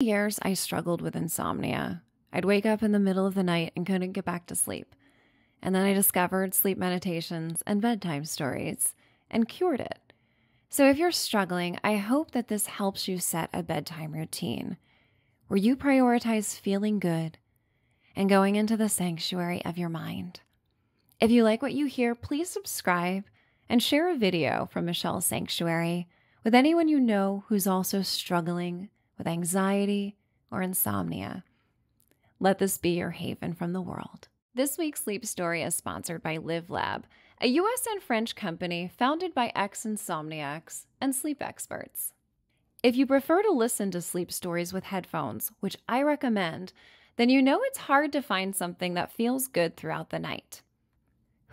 years, I struggled with insomnia. I'd wake up in the middle of the night and couldn't get back to sleep. And then I discovered sleep meditations and bedtime stories and cured it. So, if you're struggling, I hope that this helps you set a bedtime routine where you prioritize feeling good and going into the sanctuary of your mind. If you like what you hear, please subscribe and share a video from Michelle's Sanctuary with anyone you know who's also struggling with anxiety or insomnia. Let this be your haven from the world. This week's sleep story is sponsored by Live Lab, a US and French company founded by ex insomniacs and sleep experts. If you prefer to listen to sleep stories with headphones, which I recommend, then you know it's hard to find something that feels good throughout the night.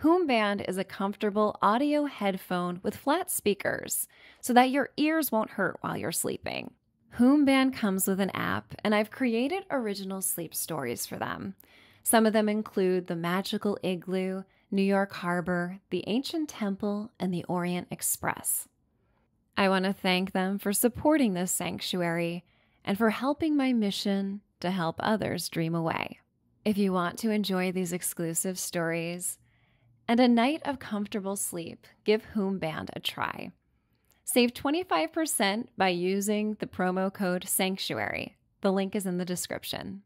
Hoomband is a comfortable audio headphone with flat speakers so that your ears won't hurt while you're sleeping. Hoomband comes with an app, and I've created original sleep stories for them. Some of them include The Magical Igloo, New York Harbor, The Ancient Temple, and The Orient Express. I want to thank them for supporting this sanctuary and for helping my mission to help others dream away. If you want to enjoy these exclusive stories and a night of comfortable sleep, give Whom Band a try. Save 25% by using the promo code SANCTUARY. The link is in the description.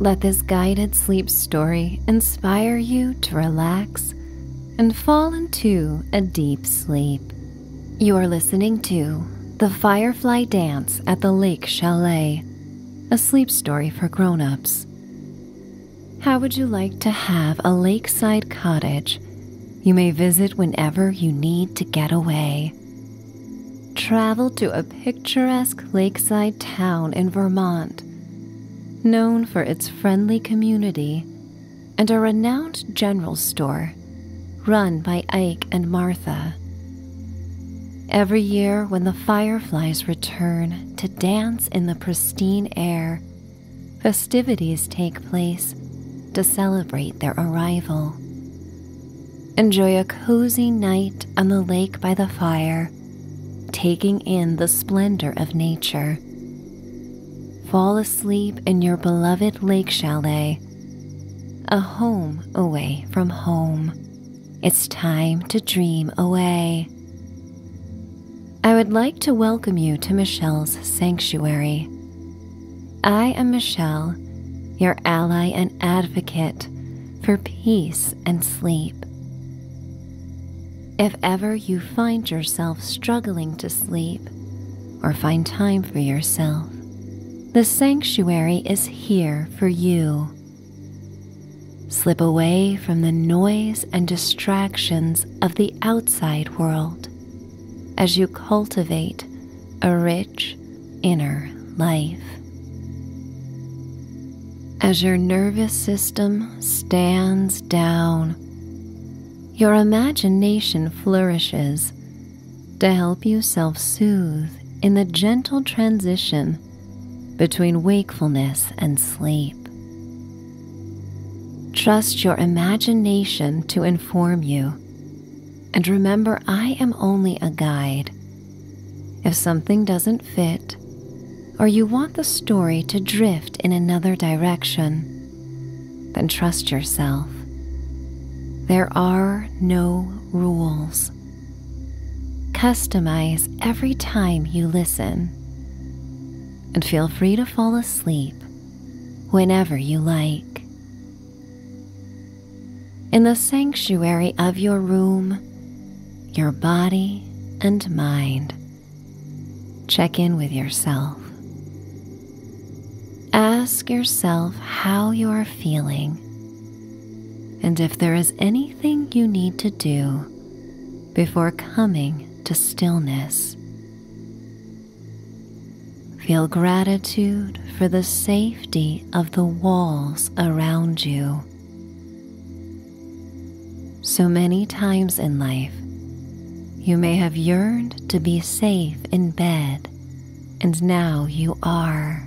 Let this guided sleep story inspire you to relax and fall into a deep sleep. You are listening to The Firefly Dance at the Lake Chalet, a sleep story for grown ups. How would you like to have a lakeside cottage you may visit whenever you need to get away? Travel to a picturesque lakeside town in Vermont, known for its friendly community and a renowned general store run by Ike and Martha. Every year, when the fireflies return to dance in the pristine air, festivities take place to celebrate their arrival. Enjoy a cozy night on the lake by the fire, taking in the splendor of nature fall asleep in your beloved lake chalet, a home away from home. It's time to dream away. I would like to welcome you to Michelle's Sanctuary. I am Michelle, your ally and advocate for peace and sleep. If ever you find yourself struggling to sleep, or find time for yourself. The sanctuary is here for you. Slip away from the noise and distractions of the outside world as you cultivate a rich inner life. As your nervous system stands down, your imagination flourishes to help you self soothe in the gentle transition between wakefulness and sleep. Trust your imagination to inform you, and remember, I am only a guide. If something doesn't fit, or you want the story to drift in another direction, then trust yourself. There are no rules. Customize every time you listen, and feel free to fall asleep whenever you like. In the sanctuary of your room, your body and mind, check in with yourself Ask yourself how you are feeling and if there is anything you need to do before coming to stillness. Feel gratitude for the safety of the walls around you. So many times in life, you may have yearned to be safe in bed, and now you are.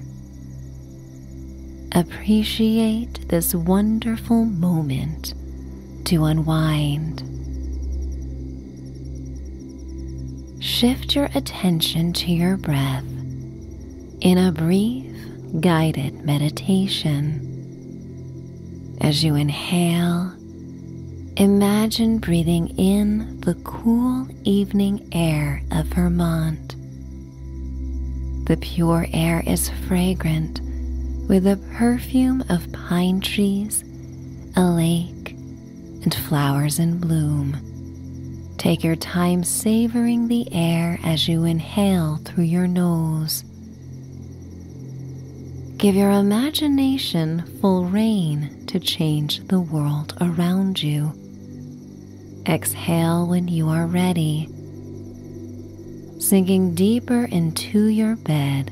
Appreciate this wonderful moment to unwind. Shift your attention to your breath in a brief guided meditation. As you inhale imagine breathing in the cool evening air of Vermont. The pure air is fragrant with the perfume of pine trees, a lake, and flowers in bloom. Take your time savoring the air as you inhale through your nose. Give your imagination full reign to change the world around you. Exhale when you are ready, sinking deeper into your bed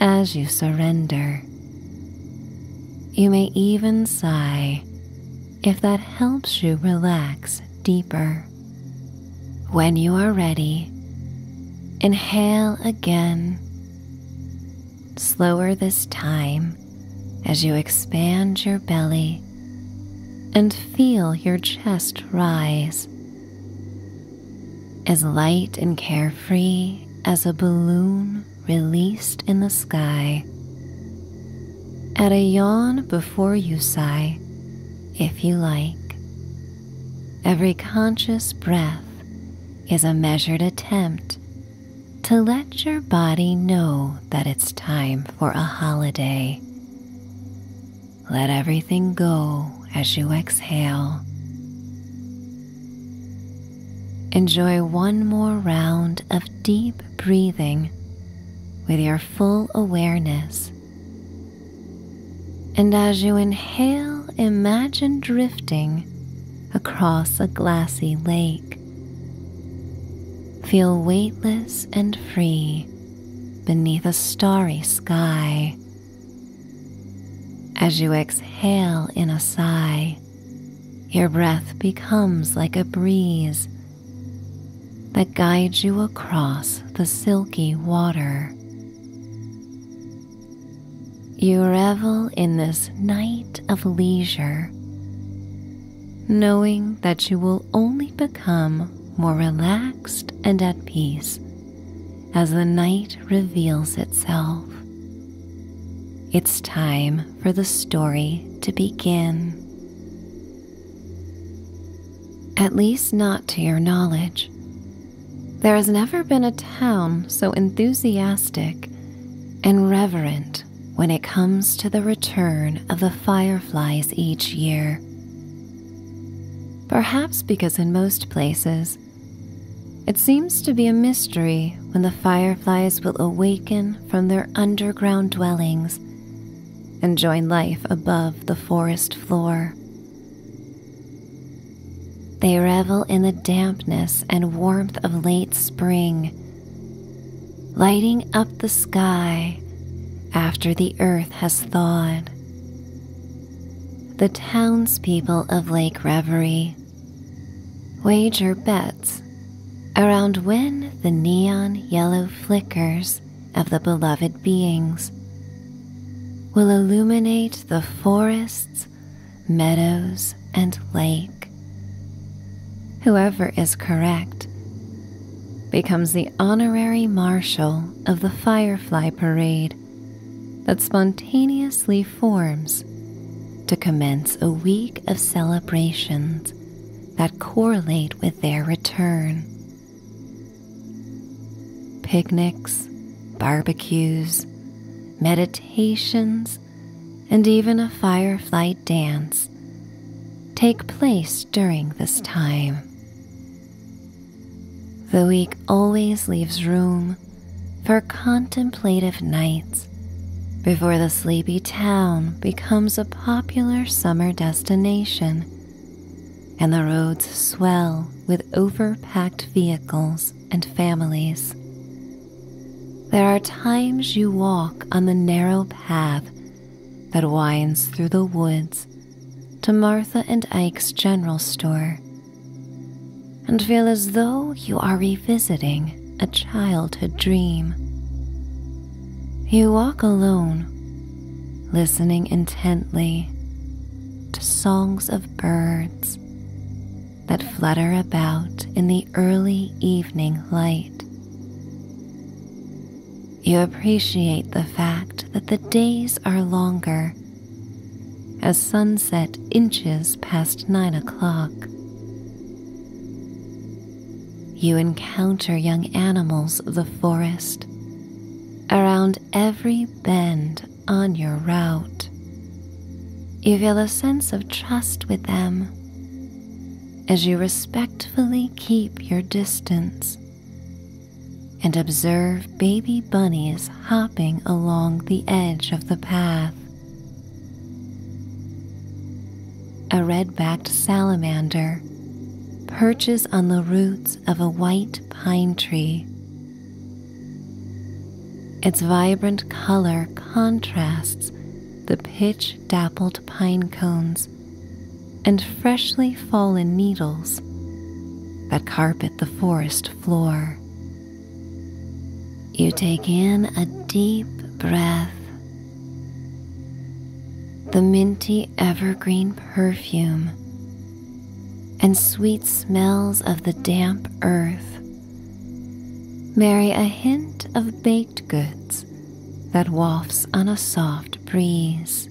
as you surrender. You may even sigh if that helps you relax deeper. When you are ready, inhale again slower this time as you expand your belly and feel your chest rise. As light and carefree as a balloon released in the sky. Add a yawn before you sigh, if you like. Every conscious breath is a measured attempt to let your body know that it's time for a holiday. Let everything go as you exhale. Enjoy one more round of deep breathing with your full awareness. And as you inhale, imagine drifting across a glassy lake. Feel weightless and free beneath a starry sky. As you exhale in a sigh, your breath becomes like a breeze that guides you across the silky water. You revel in this night of leisure, knowing that you will only become more relaxed and at peace as the night reveals itself. It's time for the story to begin. At least, not to your knowledge, there has never been a town so enthusiastic and reverent when it comes to the return of the fireflies each year. Perhaps because in most places, it seems to be a mystery when the fireflies will awaken from their underground dwellings and join life above the forest floor. They revel in the dampness and warmth of late spring, lighting up the sky after the earth has thawed. The townspeople of Lake Reverie wager bets around when the neon yellow flickers of the beloved beings will illuminate the forests meadows, and lake. Whoever is correct becomes the honorary marshal of the firefly parade that spontaneously forms to commence a week of celebrations that correlate with their return. Picnics, barbecues, meditations, and even a firefly dance take place during this time. The week always leaves room for contemplative nights before the sleepy town becomes a popular summer destination and the roads swell with overpacked vehicles and families. There are times you walk on the narrow path that winds through the woods to Martha and Ike's general store and feel as though you are revisiting a childhood dream. You walk alone, listening intently to songs of birds that flutter about in the early evening light. You appreciate the fact that the days are longer as sunset inches past nine o'clock. You encounter young animals of the forest around every bend on your route. You feel a sense of trust with them as you respectfully keep your distance and observe baby bunnies hopping along the edge of the path. A red backed salamander perches on the roots of a white pine tree its vibrant color contrasts the pitch dappled pine cones and freshly fallen needles that carpet the forest floor. You take in a deep breath. The minty evergreen perfume and sweet smells of the damp earth marry a hint of baked goods that wafts on a soft breeze.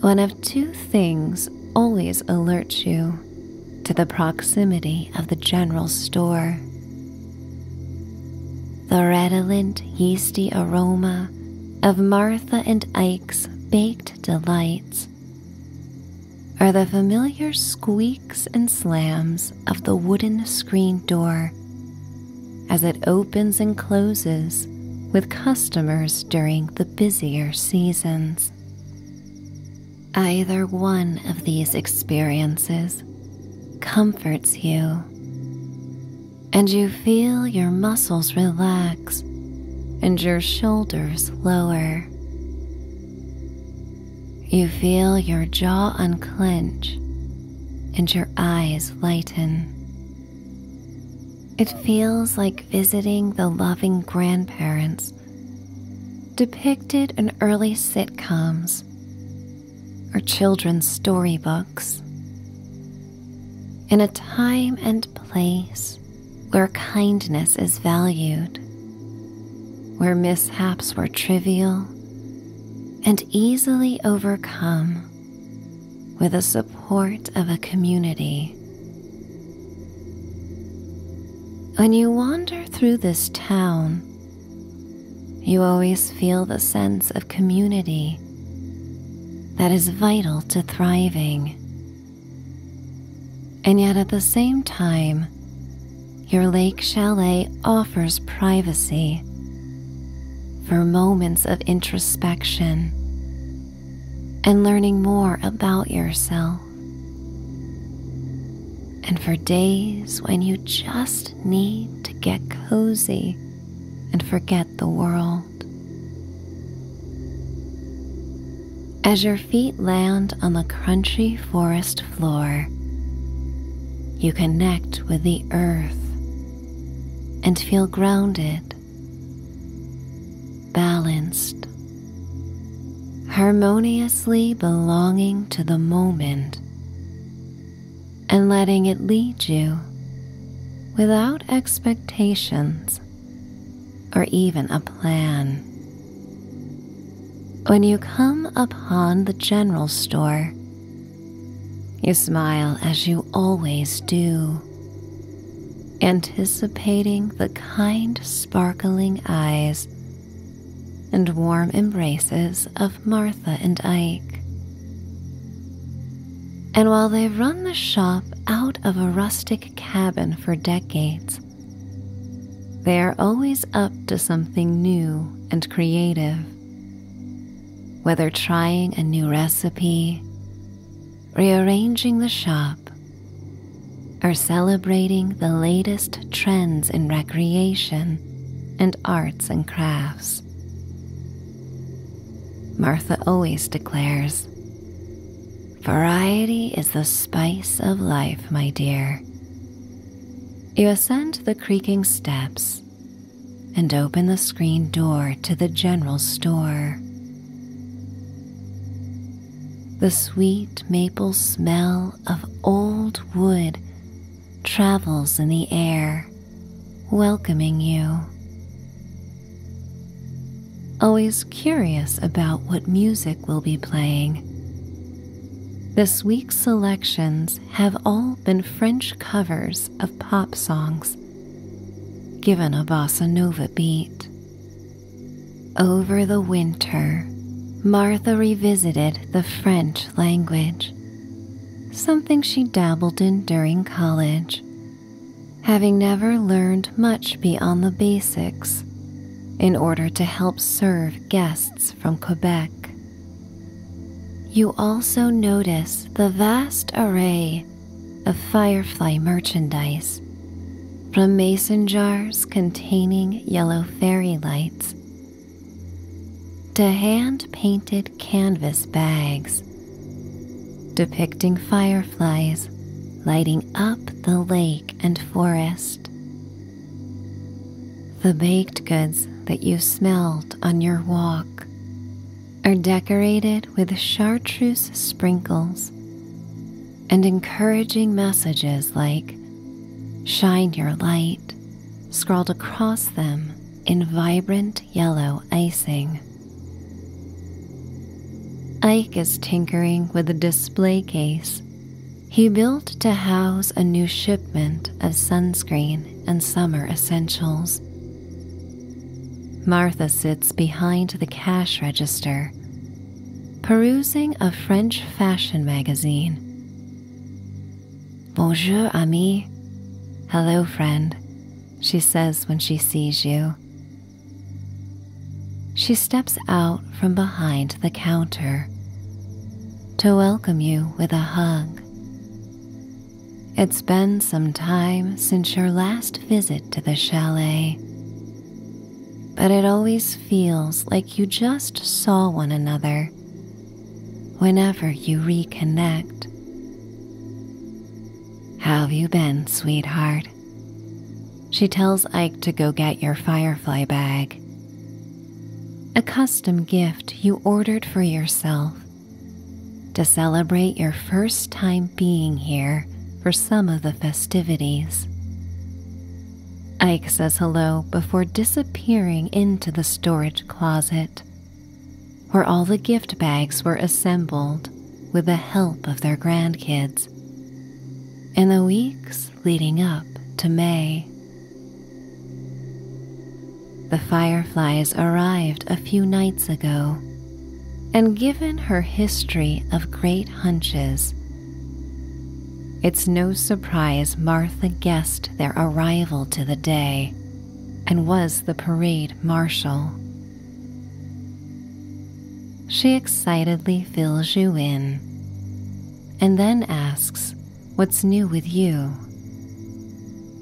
One of two things always alerts you to the proximity of the general store the redolent, yeasty aroma of Martha and Ike's baked delights are the familiar squeaks and slams of the wooden screen door as it opens and closes with customers during the busier seasons. Either one of these experiences comforts you, and you feel your muscles relax and your shoulders lower. You feel your jaw unclench and your eyes lighten. It feels like visiting the loving grandparents depicted in early sitcoms or children's storybooks. In a time and place where kindness is valued, where mishaps were trivial and easily overcome with the support of a community. When you wander through this town, you always feel the sense of community that is vital to thriving. And yet at the same time, your lake chalet offers privacy for moments of introspection and learning more about yourself, and for days when you just need to get cozy and forget the world. As your feet land on the crunchy forest floor, you connect with the earth and feel grounded, balanced, harmoniously belonging to the moment and letting it lead you without expectations or even a plan. When you come upon the general store, you smile as you always do, anticipating the kind, sparkling eyes and warm embraces of Martha and Ike. And while they run the shop out of a rustic cabin for decades. They are always up to something new and creative. Whether trying a new recipe, rearranging the shop, or celebrating the latest trends in recreation and arts and crafts. Martha always declares, Variety is the spice of life, my dear. You ascend the creaking steps and open the screen door to the general store. The sweet maple smell of old wood travels in the air, welcoming you. Always curious about what music will be playing. This week's selections have all been French covers of pop songs, given a bossa nova beat. Over the winter, Martha revisited the French language, something she dabbled in during college having never learned much beyond the basics in order to help serve guests from Quebec. You also notice the vast array of firefly merchandise, from mason jars containing yellow fairy lights to hand painted canvas bags depicting fireflies lighting up the lake and forest. The baked goods that you smelled on your walk are decorated with chartreuse sprinkles and encouraging messages like shine your light scrawled across them in vibrant yellow icing. Ike is tinkering with a display case he built to house a new shipment of sunscreen and summer essentials. Martha sits behind the cash register, perusing a French fashion magazine. Bonjour, ami. Hello, friend, she says when she sees you, she steps out from behind the counter to welcome you with a hug. It's been some time since your last visit to the chalet, but it always feels like you just saw one another whenever you reconnect. How have you been, sweetheart? She tells Ike to go get your firefly bag, a custom gift you ordered for yourself to celebrate your first time being here for some of the festivities. Ike says hello before disappearing into the storage closet, where all the gift bags were assembled with the help of their grandkids in the weeks leading up to May. The fireflies arrived a few nights ago, and given her history of great hunches, it's no surprise Martha guessed their arrival to the day and was the parade marshal. She excitedly fills you in and then asks what's new with you.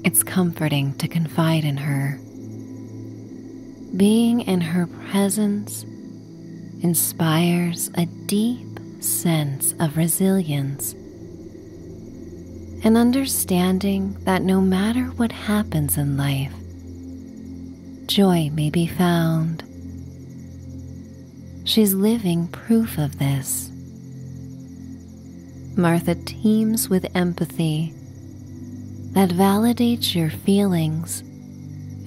It's comforting to confide in her. Being in her presence inspires a deep sense of resilience an understanding that no matter what happens in life, joy may be found. She's living proof of this. Martha teems with empathy that validates your feelings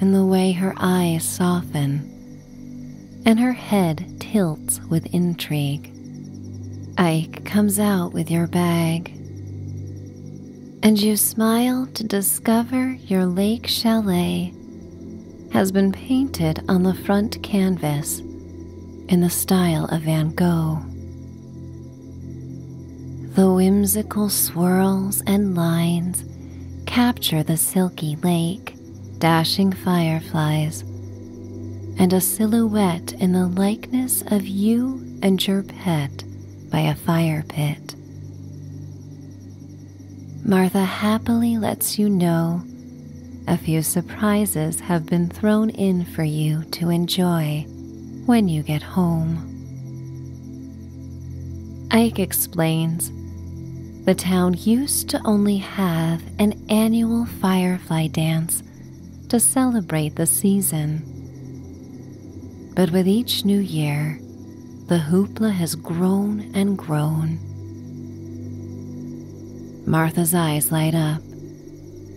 in the way her eyes soften and her head tilts with intrigue. Ike comes out with your bag and you smile to discover your lake chalet has been painted on the front canvas in the style of Van Gogh. The whimsical swirls and lines capture the silky lake, dashing fireflies, and a silhouette in the likeness of you and your pet by a fire pit. Martha happily lets you know a few surprises have been thrown in for you to enjoy when you get home. Ike explains the town used to only have an annual firefly dance to celebrate the season. But with each new year, the hoopla has grown and grown. Martha's eyes light up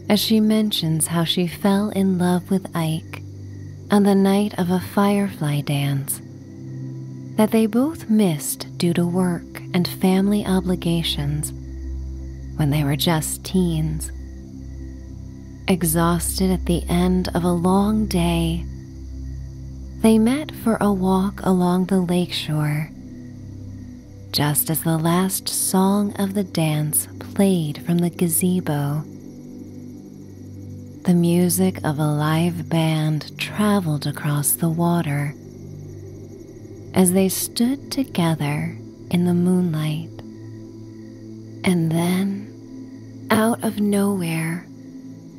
as she mentions how she fell in love with Ike on the night of a firefly dance that they both missed due to work and family obligations when they were just teens exhausted at the end of a long day, they met for a walk along the lakeshore. Just as the last song of the dance played from the gazebo, the music of a live band traveled across the water as they stood together in the moonlight. And then out of nowhere,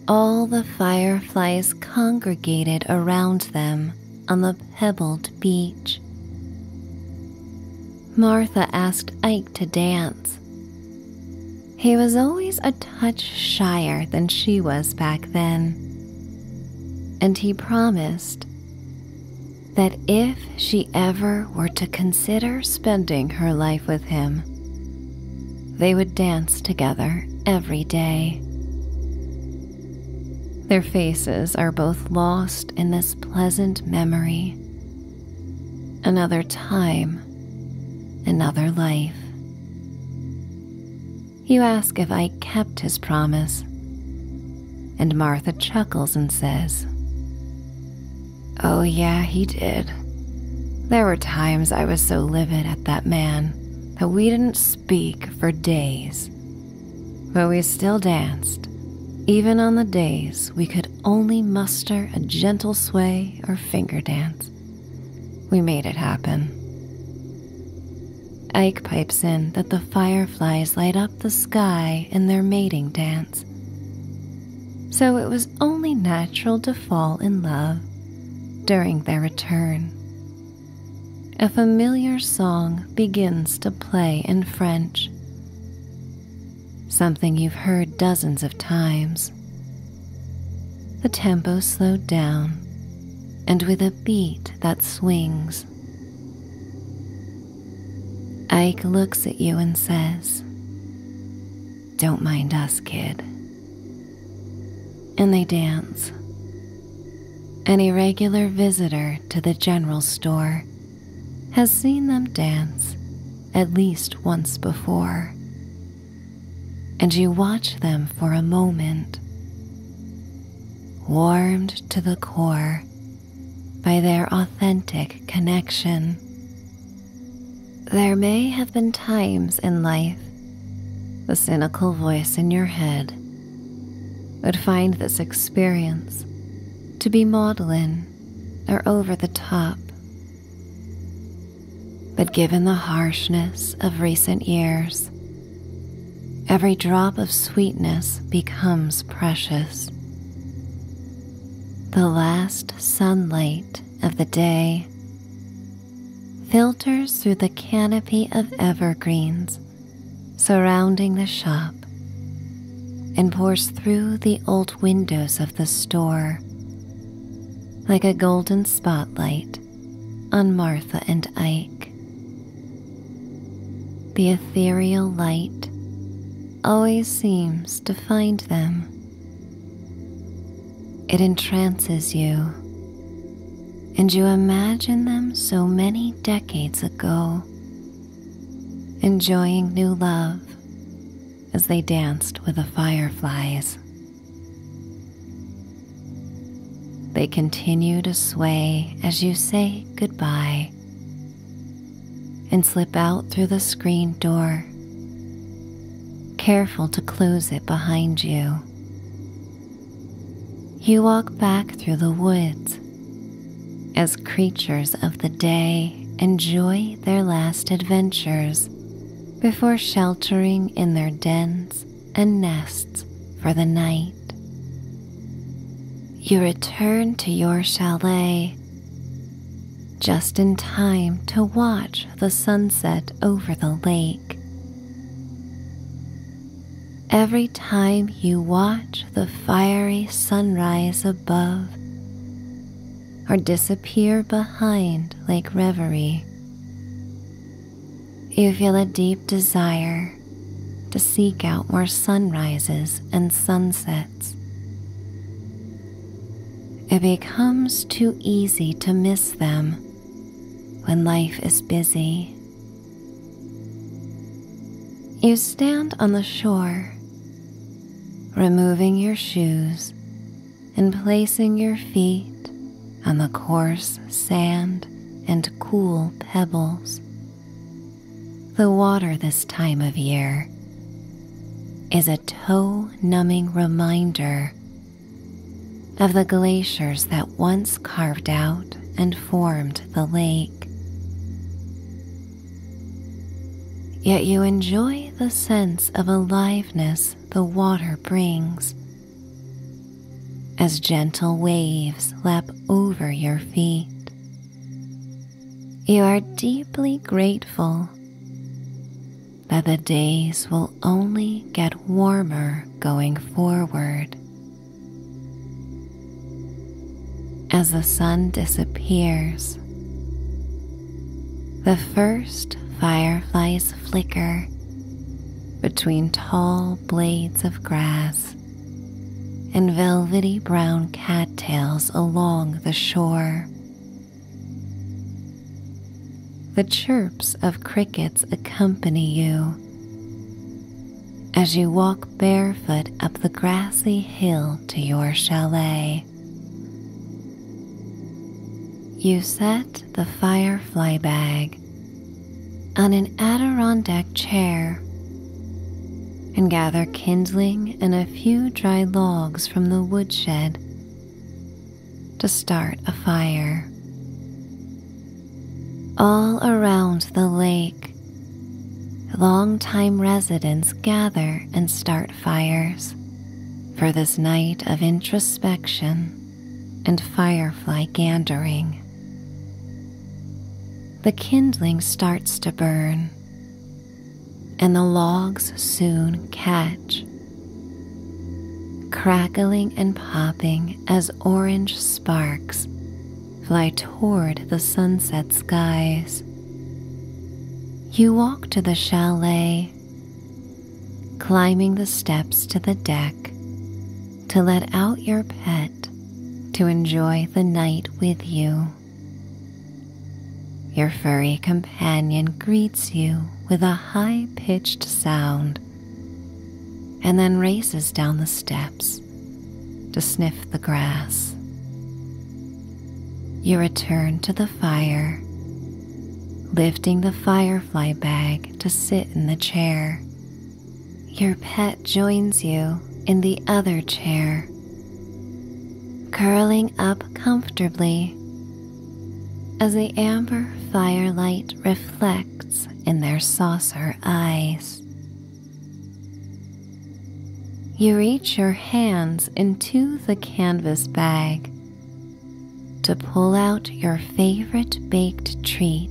all the fireflies congregated around them on the pebbled beach. Martha asked Ike to dance. He was always a touch shyer than she was back then, and he promised that if she ever were to consider spending her life with him. They would dance together every day. Their faces are both lost in this pleasant memory. Another time, another life. You ask if I kept his promise, and Martha chuckles and says, Oh, yeah, he did. There were times I was so livid at that man that we didn't speak for days. But we still danced, even on the days we could only muster a gentle sway or finger dance. We made it happen. Ike pipes in that the fireflies light up the sky in their mating dance. So it was only natural to fall in love during their return. A familiar song begins to play in French, something you've heard dozens of times. The tempo slowed down and with a beat that swings. Ike looks at you and says, don't mind us, kid. And they dance. An irregular visitor to the general store has seen them dance at least once before. And you watch them for a moment, warmed to the core by their authentic connection there may have been times in life the cynical voice in your head would find this experience to be maudlin or over the top. But given the harshness of recent years, every drop of sweetness becomes precious. The last sunlight of the day filters through the canopy of evergreens surrounding the shop and pours through the old windows of the store like a golden spotlight on Martha and Ike. The ethereal light always seems to find them it entrances you, and you imagine them so many decades ago, enjoying new love as they danced with the fireflies. They continue to sway as you say goodbye and slip out through the screen door, careful to close it behind you. You walk back through the woods as creatures of the day enjoy their last adventures before sheltering in their dens and nests for the night. You return to your chalet just in time to watch the sunset over the lake. Every time you watch the fiery sunrise above or disappear behind like reverie, you feel a deep desire to seek out more sunrises and sunsets. It becomes too easy to miss them when life is busy. You stand on the shore, removing your shoes and placing your feet on the coarse sand and cool pebbles. The water this time of year is a toe numbing reminder of the glaciers that once carved out and formed the lake. Yet you enjoy the sense of aliveness the water brings as gentle waves lap over your feet you are deeply grateful that the days will only get warmer going forward. As the sun disappears, the first fireflies flicker between tall blades of grass and velvety brown cattails along the shore. The chirps of crickets accompany you as you walk barefoot up the grassy hill to your chalet. You set the firefly bag on an Adirondack chair and gather kindling and a few dry logs from the woodshed to start a fire. All around the lake, long-time residents gather and start fires for this night of introspection and firefly gandering. The kindling starts to burn, and the logs soon catch, crackling and popping as orange sparks fly toward the sunset skies. You walk to the chalet, climbing the steps to the deck to let out your pet to enjoy the night with you. Your furry companion greets you with a high pitched sound and then races down the steps to sniff the grass. You return to the fire, lifting the firefly bag to sit in the chair. Your pet joins you in the other chair curling up comfortably as the amber firelight reflects in their saucer eyes. You reach your hands into the canvas bag to pull out your favorite baked treat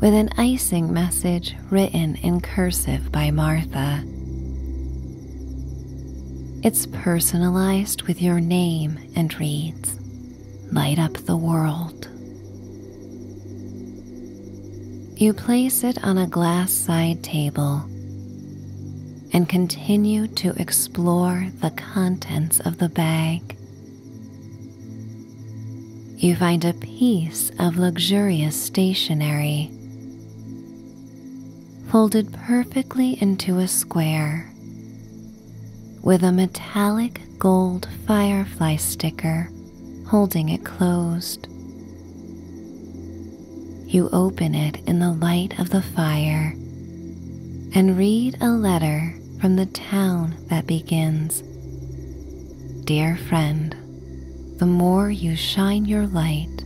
with an icing message written in cursive by Martha. It's personalized with your name and reads, Light Up the World. You place it on a glass side table and continue to explore the contents of the bag. You find a piece of luxurious stationery folded perfectly into a square with a metallic gold firefly sticker holding it closed. You open it in the light of the fire and read a letter from the town that begins Dear friend, the more you shine your light,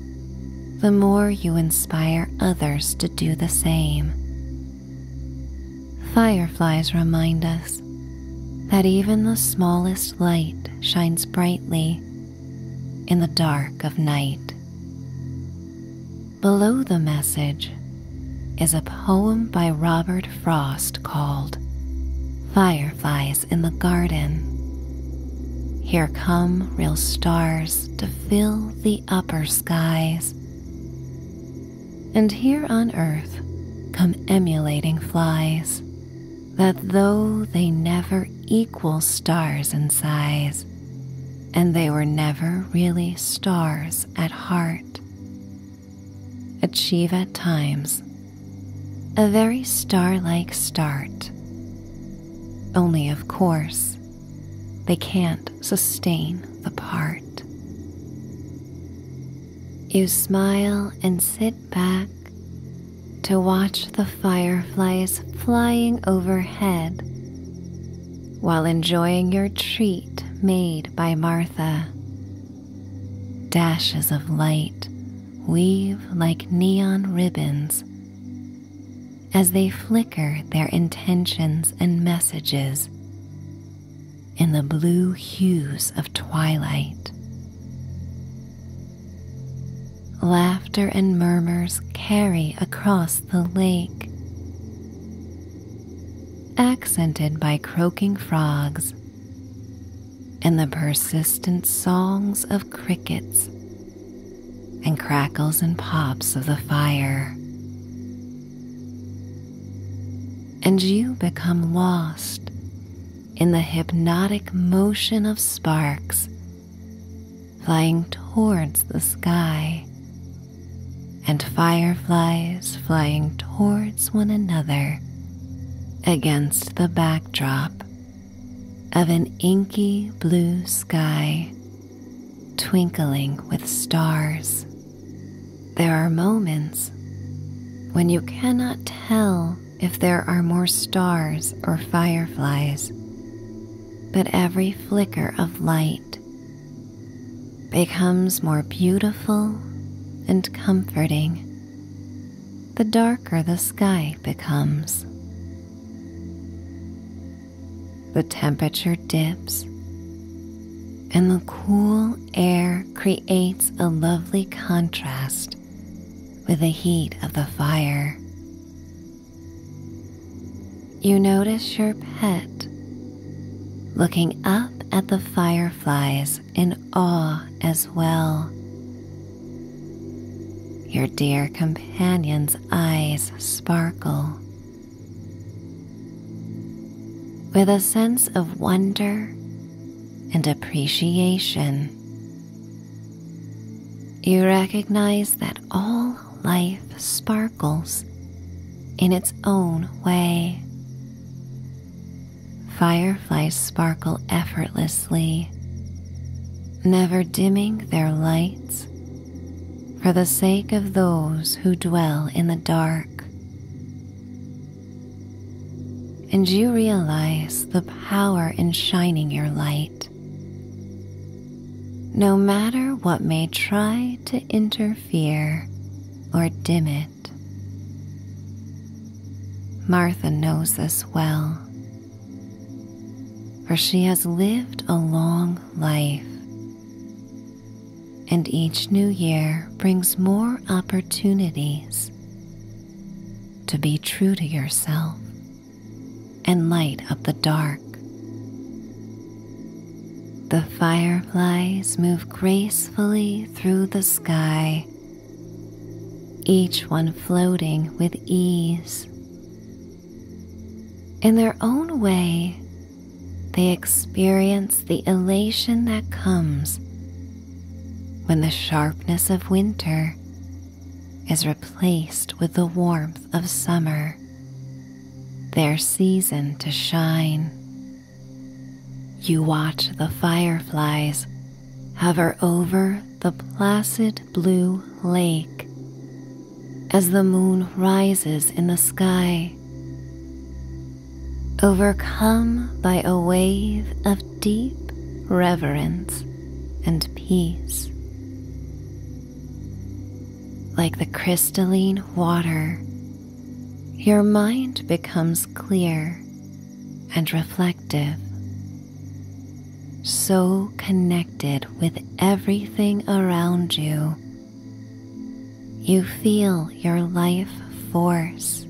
the more you inspire others to do the same. Fireflies remind us that even the smallest light shines brightly in the dark of night. Below the message is a poem by Robert Frost called Firefly in the garden. Here come real stars to fill the upper skies. And here on earth come emulating flies, that though they never equal stars in size, and they were never really stars at heart, achieve at times a very star like start only, of course, they can't sustain the part. You smile and sit back to watch the fireflies flying overhead while enjoying your treat made by Martha. Dashes of light weave like neon ribbons as they flicker their intentions and messages in the blue hues of twilight. Laughter and murmurs carry across the lake, accented by croaking frogs and the persistent songs of crickets and crackles and pops of the fire. And you become lost in the hypnotic motion of sparks flying towards the sky and fireflies flying towards one another against the backdrop of an inky blue sky twinkling with stars. There are moments when you cannot tell if there are more stars or fireflies, but every flicker of light becomes more beautiful and comforting the darker the sky becomes. The temperature dips, and the cool air creates a lovely contrast with the heat of the fire. You notice your pet looking up at the fireflies in awe as well your dear companion's eyes sparkle. With a sense of wonder and appreciation, you recognize that all life sparkles in its own way. Fireflies sparkle effortlessly never dimming their lights for the sake of those who dwell in the dark. And you realize the power in shining your light. No matter what may try to interfere or dim it, Martha knows this well for she has lived a long life. And each new year brings more opportunities to be true to yourself and light up the dark. The fireflies move gracefully through the sky, each one floating with ease in their own way, they experience the elation that comes when the sharpness of winter is replaced with the warmth of summer, their season to shine. You watch the fireflies hover over the placid blue lake as the moon rises in the sky, overcome by a wave of deep reverence and peace. Like the crystalline water, your mind becomes clear and reflective so connected with everything around you. You feel your life force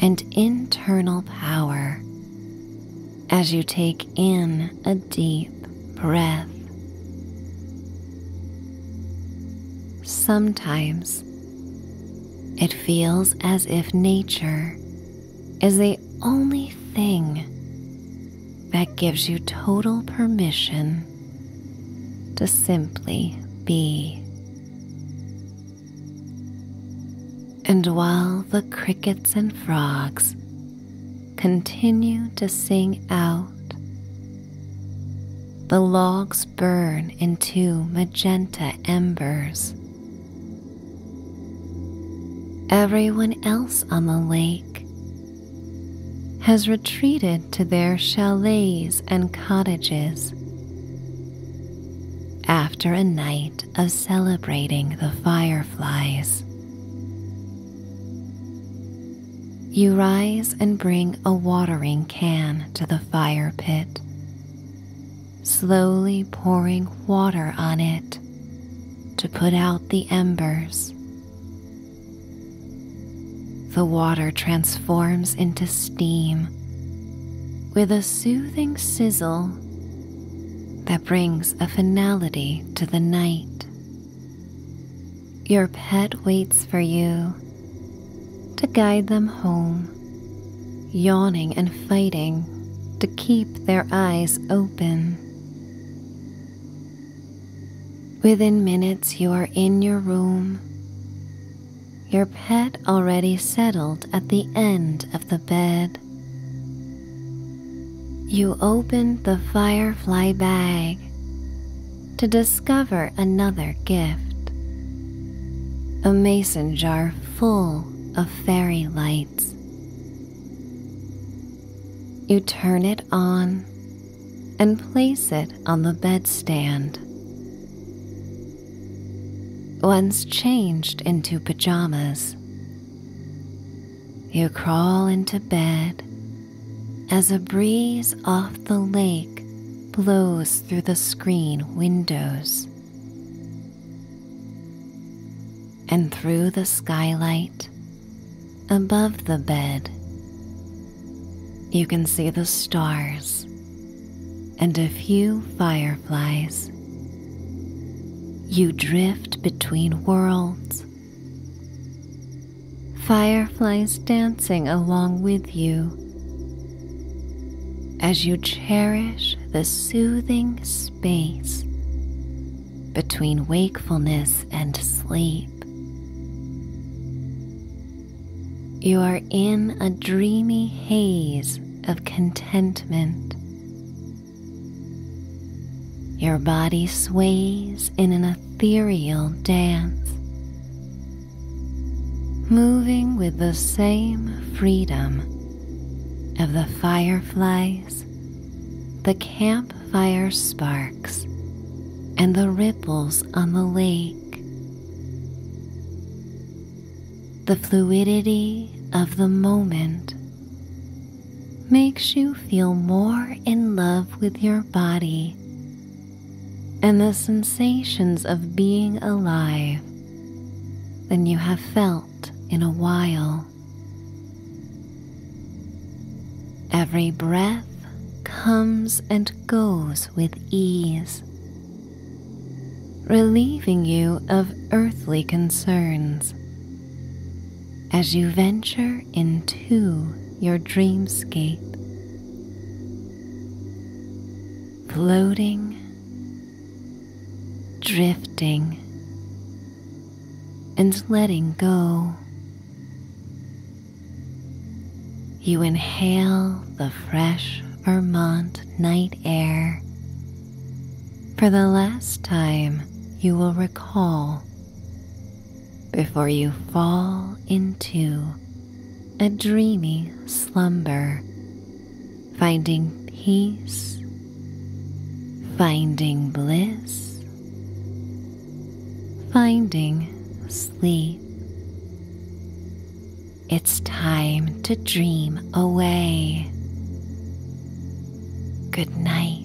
and internal power as you take in a deep breath. Sometimes it feels as if nature is the only thing that gives you total permission to simply be. And while the crickets and frogs continue to sing out, the logs burn into magenta embers Everyone else on the lake has retreated to their chalets and cottages after a night of celebrating the fireflies. You rise and bring a watering can to the fire pit slowly pouring water on it to put out the embers. The water transforms into steam with a soothing sizzle that brings a finality to the night. Your pet waits for you to guide them home yawning and fighting to keep their eyes open. Within minutes, you are in your room, your pet already settled at the end of the bed. You open the firefly bag to discover another gift a mason jar full of fairy lights. You turn it on and place it on the bedstand. Once changed into pajamas, you crawl into bed as a breeze off the lake blows through the screen windows and through the skylight above the bed. You can see the stars and a few fireflies. You drift between worlds, fireflies dancing along with you as you cherish the soothing space between wakefulness and sleep. You are in a dreamy haze of contentment. Your body sways in an ethereal dance, moving with the same freedom of the firefly the campfire sparks, and the ripples on the lake. The fluidity of the moment makes you feel more in love with your body and the sensations of being alive than you have felt in a while. Every breath comes and goes with ease, relieving you of earthly concerns as you venture into your dreamscape. Floating, drifting, and letting go. You inhale the fresh Vermont night air for the last time you will recall before you fall into a dreamy slumber finding peace, finding bliss, finding sleep. It's time to dream away. Good night.